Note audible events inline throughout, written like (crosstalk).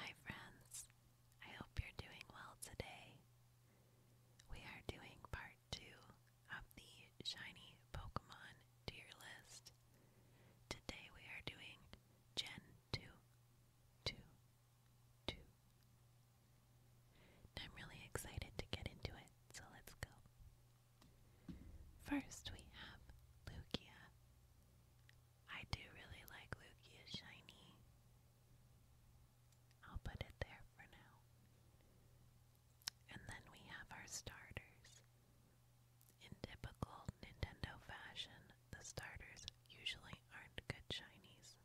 Hi, friends. I hope you're doing well today. We are doing part two of the shiny Pokemon tier list. Today we are doing Gen 2. I'm really excited to get into it, so let's go. First, we have Lucia. I do really like Lugia Shiny. I'll put it there for now. And then we have our starters. In typical Nintendo fashion, the starters usually aren't good shinies.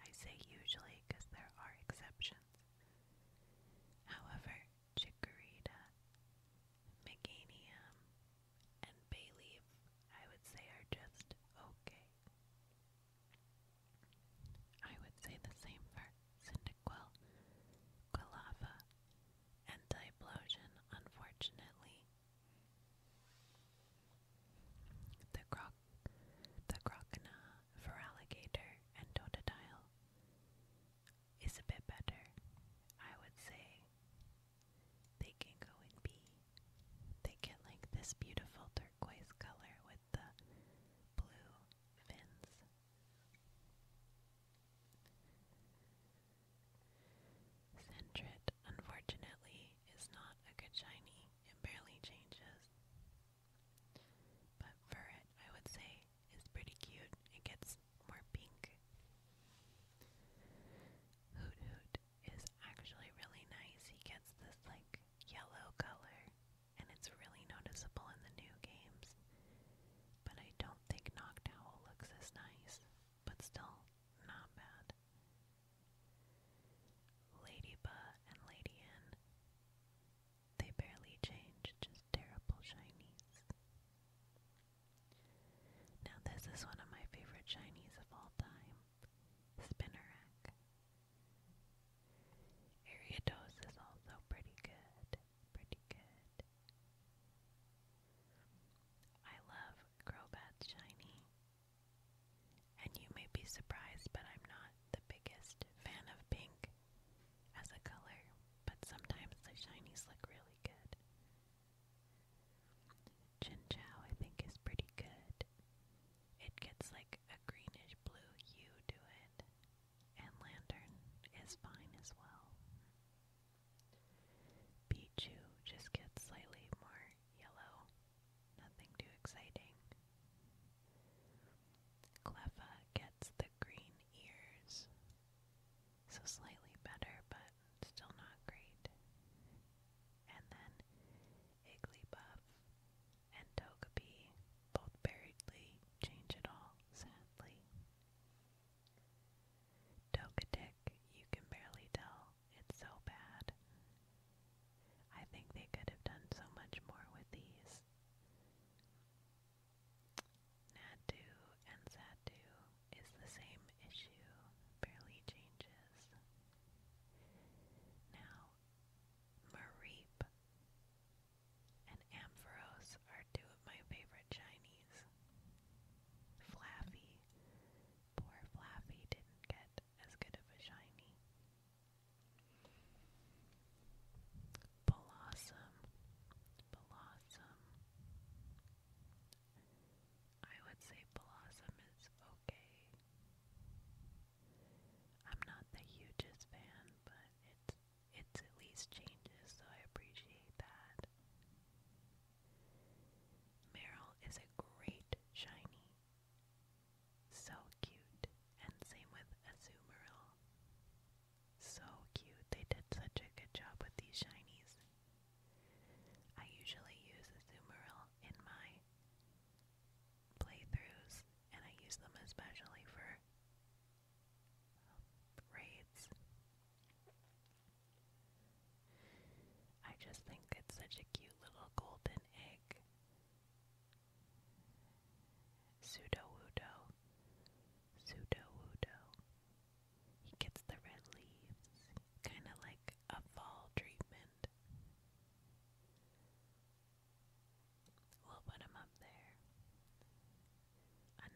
I say usually because there are exceptions. However, chikorita, meganium, and bay I would say are just okay. I would say the same for Cyndaquil, Quilava, and Diplosion, unfortunately. The Croc the crocodile, for alligator, and totodile is a bit better. I would say they can go in B. They get like this beautiful turquoise color with the blue fins. Centret, unfortunately, is not a good shiny. It barely changes. But Furret, I would say, is pretty cute. It gets more pink. Hoot Hoot is actually really nice. He gets this like yellow color, and it's really noticeable in the new games. But I don't think Noctowl looks as nice, but still not bad. Ladyba and Lady Anne. They barely changed, just terrible shinies. Now this is one of my favorite shinies of all time. Spinnerack. Ariados is also pretty good. Pretty good. I love Crobat's shiny. And you may be surprised, but I'm not the biggest fan of pink as a color, but sometimes the shinies look really good. Chin Chow, I think, is pretty good. It gets like a greenish blue hue to it, and Lantern is fine as well. Pichu just gets slightly more yellow Nothing too exciting. Cleffa gets the green ears. So slightly better, but still not great. And then Igglybuff and Togepi both buriedly change it all, sadly. Togetic, you can barely tell it's so bad. I think they could have done so much more with these. Nadu and Satu is the same issue, barely changes. Now, Mareep and Ampharos are two of my favorite shinies. Flaffy. Poor Flaffy didn't get as good of a shiny. Blossom, blossom. I would say blossom is okay. I'm not the hugest fan, but it's it's at least changes, so I appreciate that. Meryl is a great shiny. So cute. And same with Azumarill. So cute. They did such a good job with these shinies. I usually use Azumarill in my playthroughs, and I use them especially for raids. I just think it's such a cute little golden egg. Sudowoodo. Sudowoodo. He gets the red leaves, kind of like a fall treatment. We'll put him up there.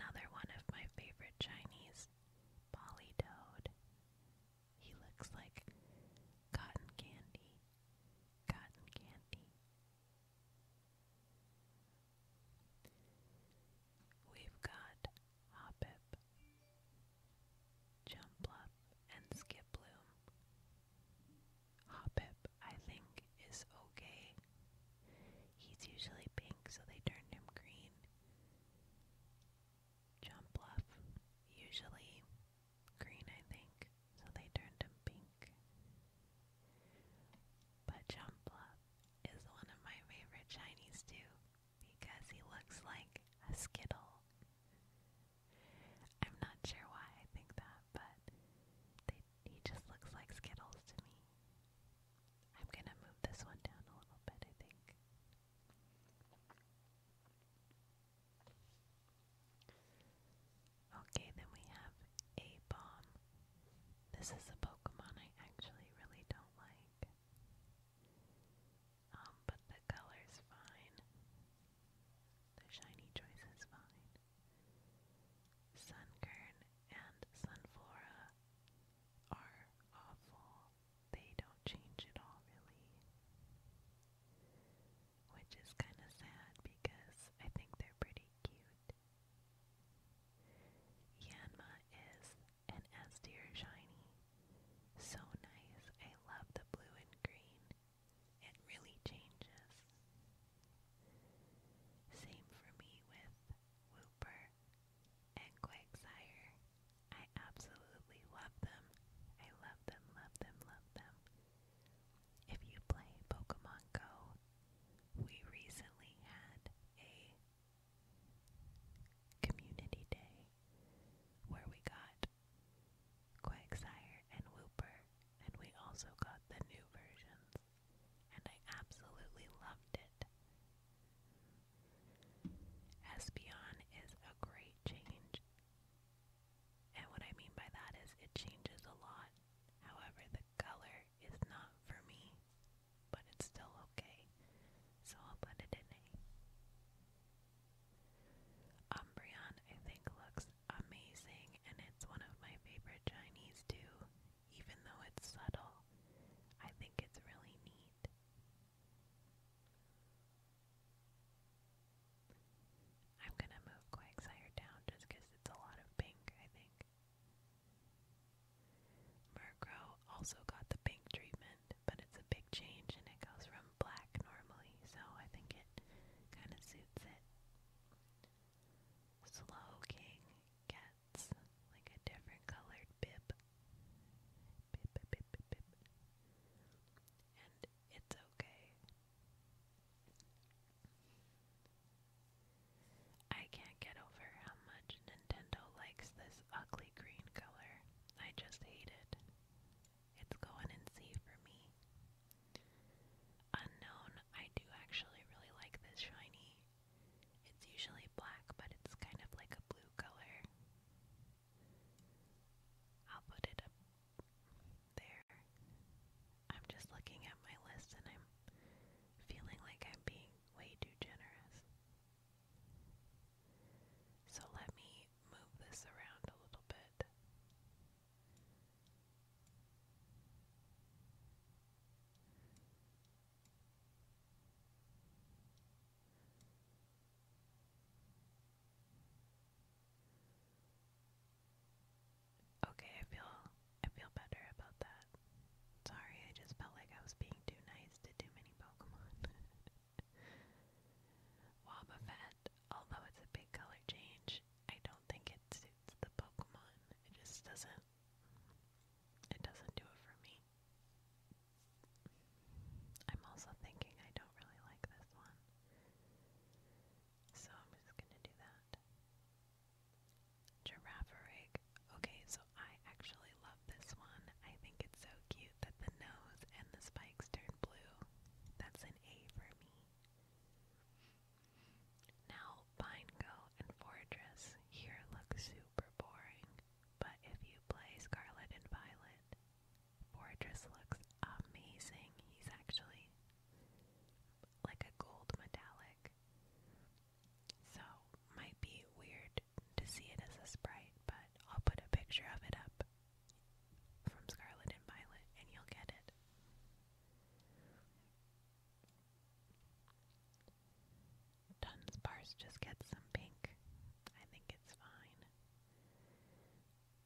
Another one of my favorite Chinese, Polly Toad. He looks like cotton candy. Cotton candy. We've got Hoppip, Jumplup, and Skiploom. Hoppip, I think, is okay. He's usually pink, so they turned him green. Jump Bluff, usually green, I think, so they turned him pink. But Jump Bluff is one of my favorite Chinese too, because he looks like a Skittle. I'm not sure why I think that, but he just looks like Skittles to me. I'm gonna move this one down a little bit, I think. Okay, then we have a bomb. This is a Pokemon I actually really don't like. Um, but the color's fine. The shiny choice is fine. Sunkern and Sunflora are awful they don't change at all, really. Which is kind of sad because I think they're pretty cute. Yanma is an S tier shiny. So nice. I love the blue and green. It really changes. Same for me with Wooper and Quagsire. I absolutely love them. I love them, love them, love them. If you play Pokemon Go, we recently had a community day where we got Quagsire and Wooper, and we also got the new versions, and I absolutely loved it. Espeon is a great change. And what I mean by that is it changes a lot. However, the color is not for me, but it's still okay. So I'll put it in A. Umbreon I think looks amazing and it's one of my favorite Chinese too, even though it's subtle. I think it's really neat. I'm gonna move Quagsire down just it's a lot of pink, I think. Murkrow also got the pink treatment, but it's a big change and it goes from black normally, so I think it kind of suits it. Slow King gets like a different colored bib it's okay. I can't get over how much Nintendo likes this ugly green color. I just hate it. It's going in C for me. Unknown, I do actually really like this shiny. It's usually black, but it's kind of like a blue color. I'll put it there. I'm just looking at my list and I'm feeling like I'm being way too generous. So let me move this around a little bit. Okay, I feel I feel better about that. Sorry, I just felt like I was being too nice to too many Pokemon. (laughs) Wobbuffet, although it's a big color change, I don't think it suits the Pokemon. It just doesn't it doesn't do it for me. I'm also thinking I don't really like this one. So I'm just gonna do that. Giraffe rig. Okay, so I actually love this one. I think it's so cute that the nose and the spikes turn blue. That's an A for me. Now, Pineco and Fortress here look super boring. But if you play Scarlet and Violet, Fortress looks amazing. He's actually like a gold metallic. So, might be weird to see it as a sprite, but I'll put a picture of it up from Scarlet and Violet and you'll get it. Dunsparce just gets some pink. I think it's fine.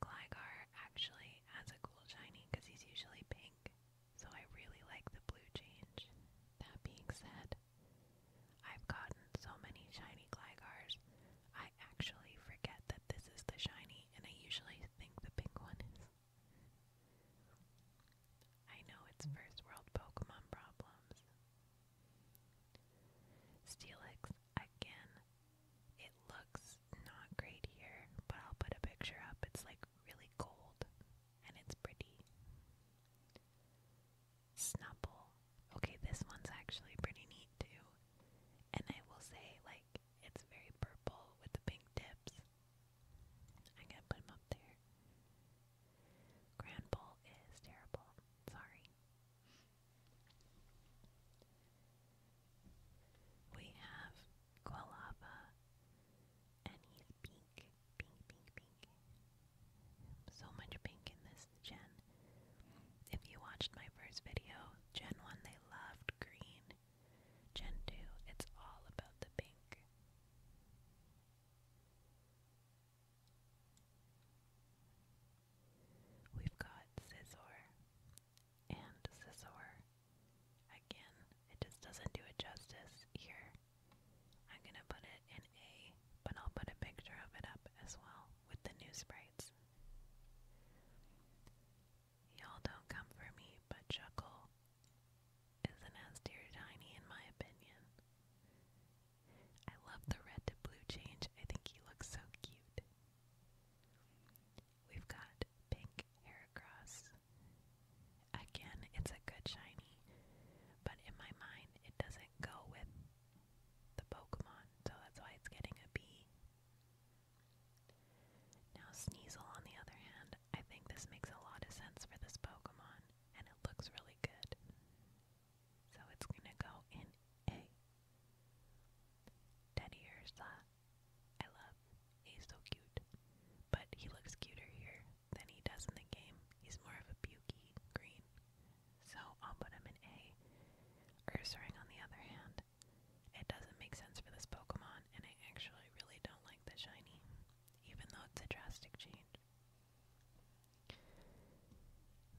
Gligar actually has a cool shiny because he's usually pink, so I really like the blue change. That being said, I've gotten so many shiny Glygars, I actually forget that this is the shiny, and I usually think the pink one is. I know it's first world Pokemon problems. Steelix, again. It looks not great here, but I'll put a picture up. It's like really gold and it's pretty. Snubble. Okay, this one's actually pretty neat too. And I will say, like, it's very purple with the pink tips. I'm gonna put them up there. Grandpa is terrible. Sorry. We have Quilava, and he's pink, pink, pink, pink. So much pink in this gen. If you watched my first video, Gen 1, they loved green. Gen 2, it's all about the pink. We've got scissor and scissor. Again, it just doesn't do it justice here. I'm gonna put it in A, but I'll put a picture of it up as well with the new sprites. Y'all don't come for me, but chuckle isn't as tear tiny in my opinion. I love the red to blue change. I think he looks so cute. We've got pink Heracross. Again, it's a good shiny, but in my mind it doesn't go with the Pokemon, so that's why it's getting a B. Now Sneasel on the other hand, I think this makes a lot of sense for this Pokemon and it looks really good. So it's going to go in A. Teddy I love. He's so cute. But he looks cuter here than he does in the game. He's more of a pukey green. So I'll put him in A. Ursaring, on the other hand, it doesn't make sense for this Pokemon, and I actually really don't like the shiny even though it's a drastic change.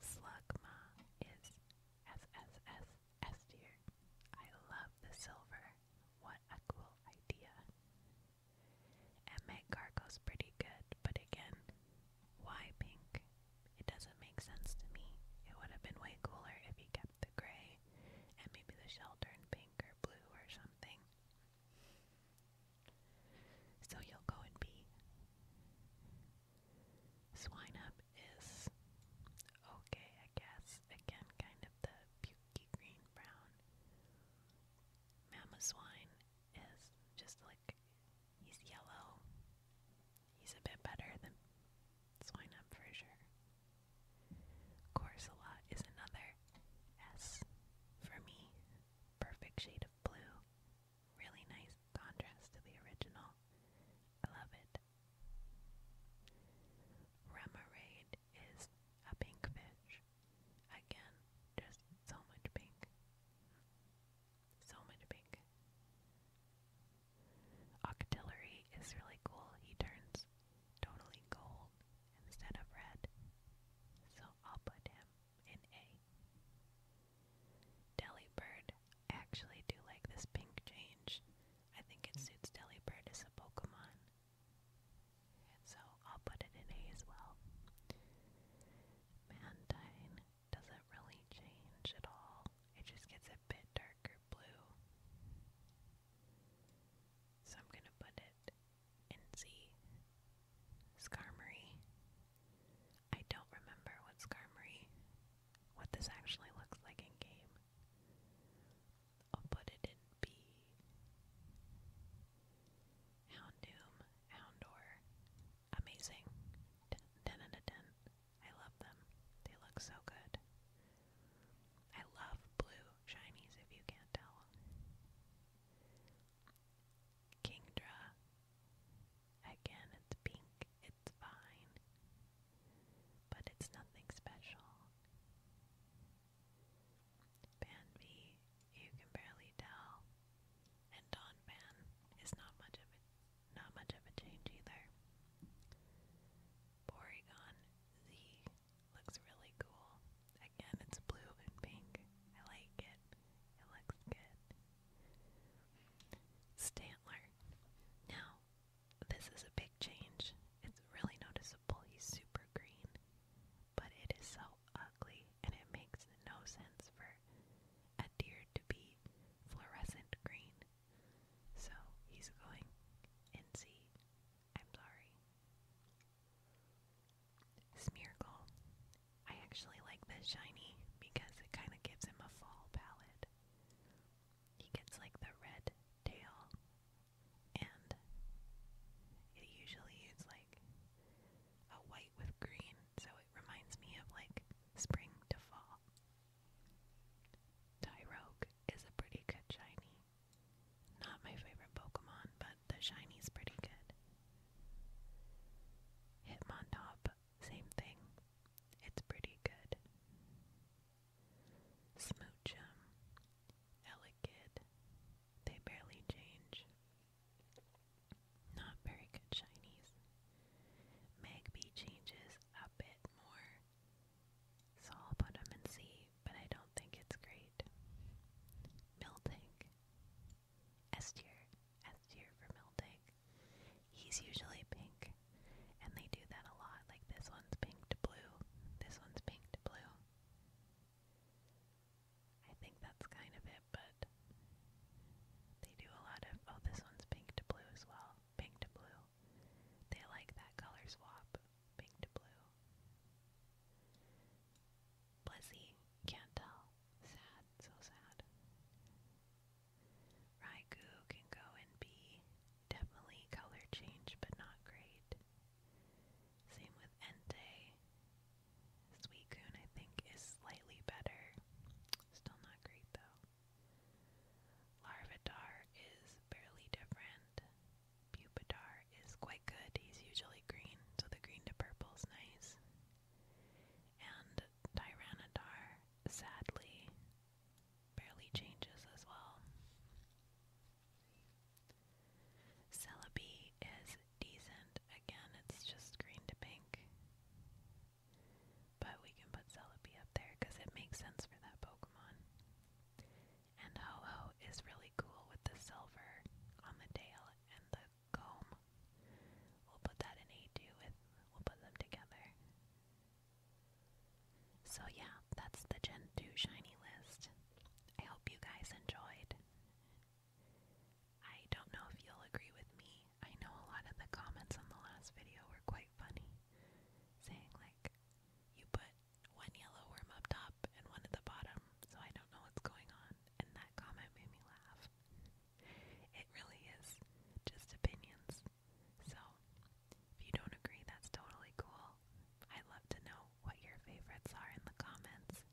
Slugma is SSS tier. I love the silver. What a cool idea. Emmet Cargo's pretty good, but again, why pink? It doesn't make sense to me. It would have been way cooler if he kept the gray and maybe the shell turned pink or blue or something. So you'll go and be. Swine up is okay, I guess. Again, kind of the pukey green brown. Mama swine is just like he's yellow. He's a bit better than swine for sure. Corsola is another S for me. Perfect shade of blue. Really nice contrast to the original. I love it. Remoraid is a pink fish. Again, just so much pink. So much pink. Octillery is really cool. He turns totally gold instead of red, so I'll put him in A. Delibird, actually do like this pink change. I think it suits Delibird as a Pokemon. so I'll put it in A as well. Mantine doesn't really change at all. It just gets a bit darker blue. So I'm going to put it in Z. Skarmory. I don't remember what Skarmory, what this actually looks like in game. I'll put it in B. Houndoom, Houndor. Amazing. 10 out of 10. I love them. They look so good. I love blue shinies if you can't tell. Kingdra. Again, it's pink, it's fine, but it's nothing special. Banby, you can barely tell, and Don Ban is not much of a not much of a change either. Porygon Z Looks really cool. Again, it's blue and pink. I like it. It looks good. Stantler. Now, this is a big change. It's really noticeable. He's super green. But it is so ugly, and it makes no sense for a deer to be fluorescent green. So he's going in C I'm sorry. Smeargle. I actually like this shiny because it kind of gives him a fall palette. He gets like the red tail, and it usually is like a white with green, so it reminds me of like spring to fall. Tyrogue is a pretty good shiny. Not my favorite Pokemon, but the shiny's pretty good. Hitmontop, same thing. It's pretty good. Smoochum, Elekid, they barely change. Not very good shinies. Magby changes a bit more. So I'll put them in C, but I don't think it's great. Miltank. S tier. for Miltank. He's usually pink, and they do that a lot. Like this one's pink to blue, this one's pink to blue. I think that's kind of it, but they do a lot of. Oh, this one's pink to blue as well pink to blue. They like that color swap, pink to blue. Blissey, can't tell. Sad, so sad. Raikou can go and be definitely color change, but not great. Same with Entei. Suicune, I think, is slightly better. Still not great, though. Larvitar is barely different. Pupitar is quite good. He's usually green, so the green to purple is nice. And Tyranitar, sadly, barely changes as well. Celebi is decent. Again, it's just green to pink. But we can put Celebi up there because it makes sense for that Pokemon. And Ho-Oh is really cool with the silver on the tail and the comb. We'll put that in A2 we'll put them together. So yeah, that's the Gen 2 shiny list. I hope you guys enjoyed. I don't know if you'll agree with me. I know a lot of the comments on the last video were quite funny saying like you put one yellow worm up top and one at the bottom, so I don't know what's going on. And that comment made me laugh. It really is just opinions. So if you don't agree, that's totally cool. I'd love to know what your favorites are in the comments.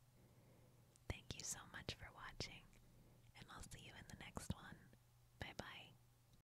Thank you so much for watching, and I'll see you in the next one. Bye bye.